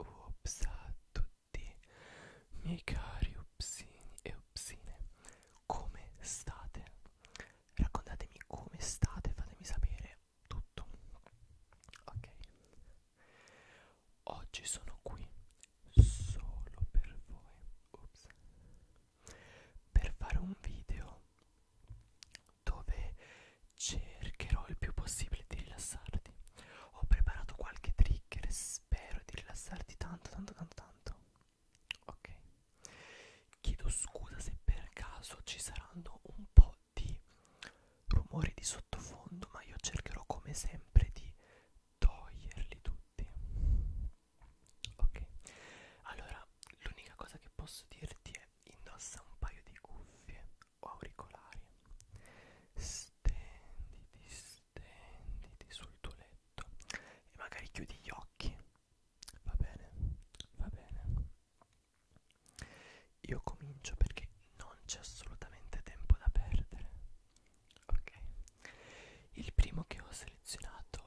Ups a tutti miei cari upsini e upsine Come state? Raccontatemi come state, fatemi sapere tutto Ok Oggi sono qui solo per voi Ups per fare un video dove cercherò il più possibile di rilassarti. Ho preparato qualche trigger e spero di rilassarti tanto, tanto, tanto, tanto. Ok. Chiedo scusa se per caso ci saranno un po' di rumori di sottofondo, ma io cercherò come sempre di toglierli tutti. Ok, allora l'unica cosa che posso dirti è indossa un paio di cuffie o auricolari. Stenditi, stenditi sul tuo letto e magari chiudi gli occhi. Va bene, va bene. Io comincio perché non c'è assolutamente tempo da perdere. Ok, il primo che ho selezionato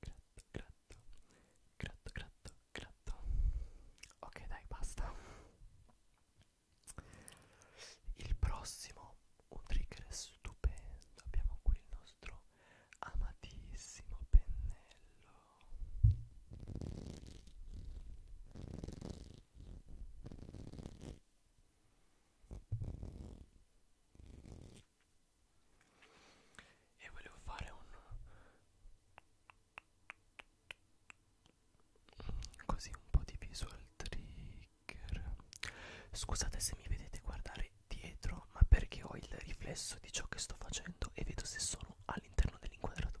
Gratto, gratto, gratto, gratto, gratto. Ok, dai, basta. Il prossimo, un trigger stupendo. Abbiamo qui il nostro amatissimo pennello e volevo fare un così un po' di visual trigger scusate se mi vedete guardare dietro ma perché ho il riflesso di ciò che sto facendo e vedo se sono all'interno dell'inquadratura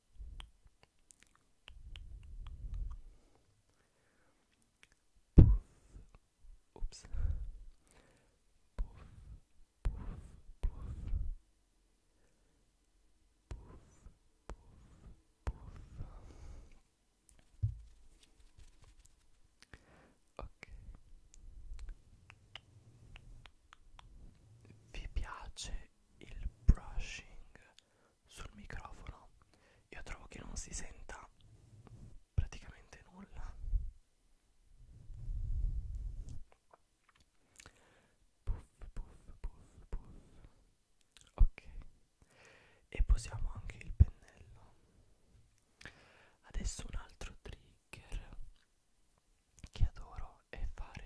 puff, ups, puff, puff, puff, puff, puff, puff. Ok. Vi piace il brushing sul microfono io trovo che non si senta praticamente nulla puff puff puff puff ok e posiamo anche il pennello adesso un altro trigger che adoro è fare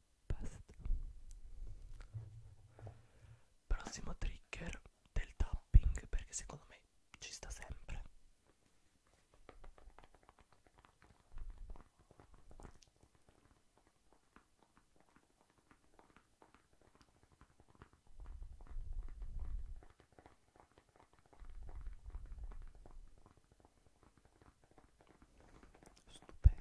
Basta. Prossimo trigger del tapping perché secondo me ci sta sempre. Stupendo.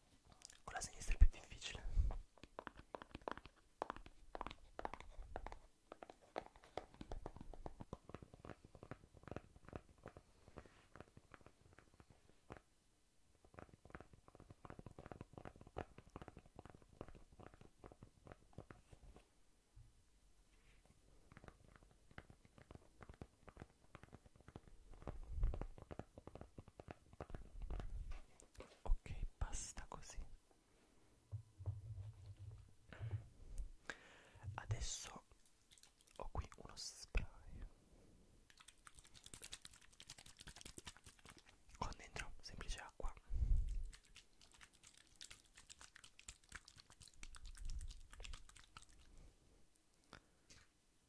con la sinistra è più difficile ok basta così adesso ho qui uno spray con dentro semplice acqua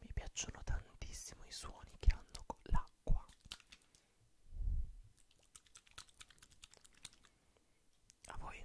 Mi piacciono tantissimo i suoni che hanno con l'acqua. A voi?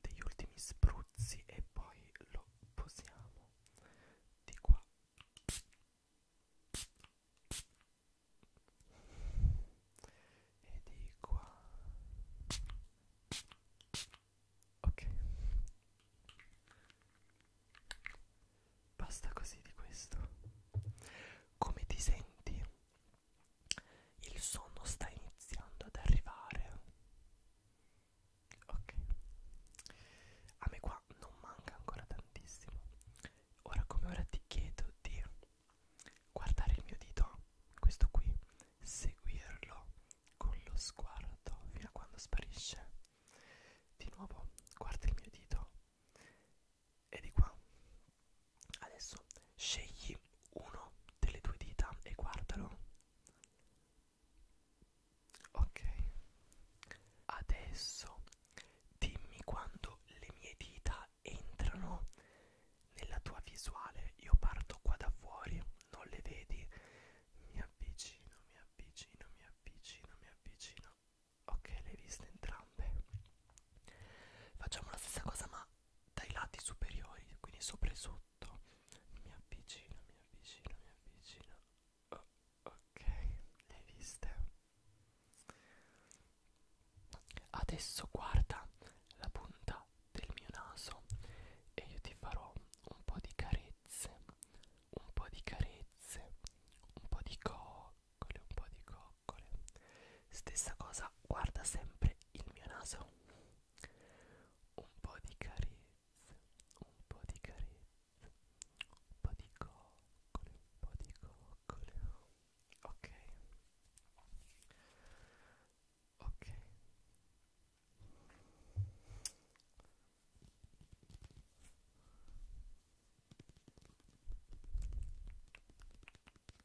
degli ultimi spruzzi e poi lo posiamo di qua e di qua ok basta così di questo come ti senti il sonno sta iniziando ad arrivare. Ok. A me qua non manca ancora tantissimo. Ora come ora ti chiedo di guardare il mio dito, questo qui, seguirlo con lo sguardo fino a quando sparisce. Di nuovo guarda il mio dito. E di qua. Adesso scegli Prendi uno delle tue dita e guardalo. Ok. Adesso dimmi quando le mie dita entrano nella tua visuale. Io parto qua da fuori, non le vedi. Mi avvicino, mi avvicino, mi avvicino, mi avvicino. Ok, le hai viste entrambe. Facciamo la stessa cosa ma dai lati superiori, quindi sopra e sotto. Mi avvicino, mi avvicino, mi avvicino. Oh, ok, le hai viste? Adesso guarda la punta del mio naso e io ti farò un po' di carezze, un po' di carezze, un po' di coccole, un po' di coccole. Stessa cosa, guarda sempre il mio naso un po' di carezze un po' di carezze un po' di coccole un po' di coccole ok ok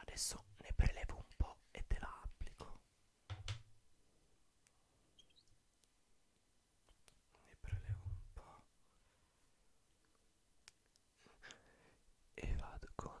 Adesso ne prelevo un po' e te la applico. Ne prelevo un po' e vado con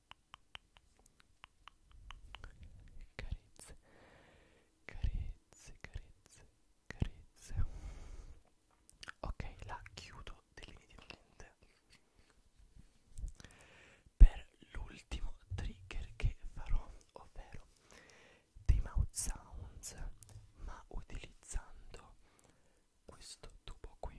carezze carezze carezze carezze ok la chiudo definitivamente per l'ultimo trigger che farò ovvero dei mouth sounds ma utilizzando questo tubo qui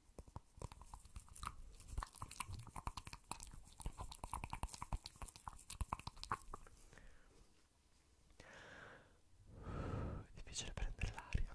È difficile prendere l'aria.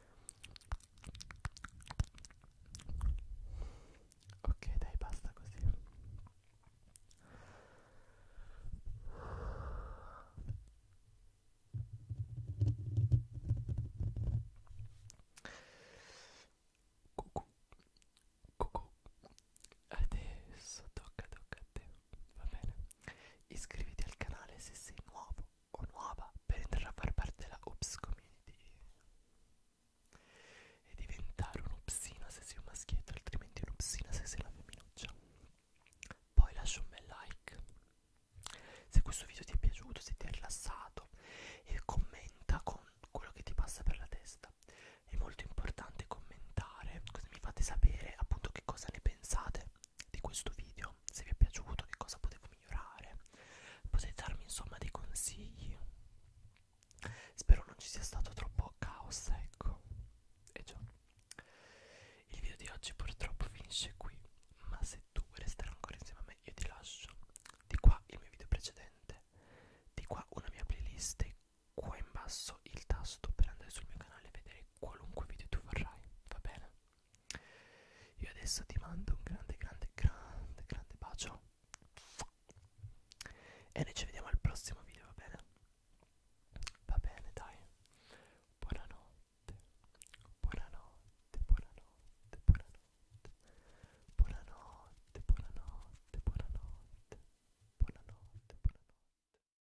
Ok, dai, basta così. Cucù. Cucù. Adesso tocca, tocca a te. Va bene. Iscriviti al canale se sei nuovo nuovo o nuova per entrare a far parte della Ops Community e diventare un upsino se sei un maschietto, altrimenti un upsino se sei una femminuccia. Poi lascia un bel like se questo video ti è piaciuto, se ti è rilassato e commenta con quello che ti passa per la testa. È molto importante commentare, così mi fate sapere appunto che cosa ne pensate di questo video, se vi è piaciuto, che cosa potevo migliorare, potete darmi insomma dei consigli. Spero non ci sia stato troppo caos, ecco. E già, il video di oggi purtroppo finisce qui, ma se tu vuoi restare ancora insieme a me io ti lascio. Di qua il mio video precedente, di qua una mia playlist, e qua in basso il tasto per andare sul mio canale e vedere fare qualunque video tu vorrai, va bene? Io adesso ti mando un grande, grande, grande, grande bacio e noi ci vediamo al prossimo video, va bene? Va bene, dai. Buonanotte, buonanotte, buonanotte, buonanotte, buonanotte, buonanotte, buonanotte, buonanotte, buonanotte.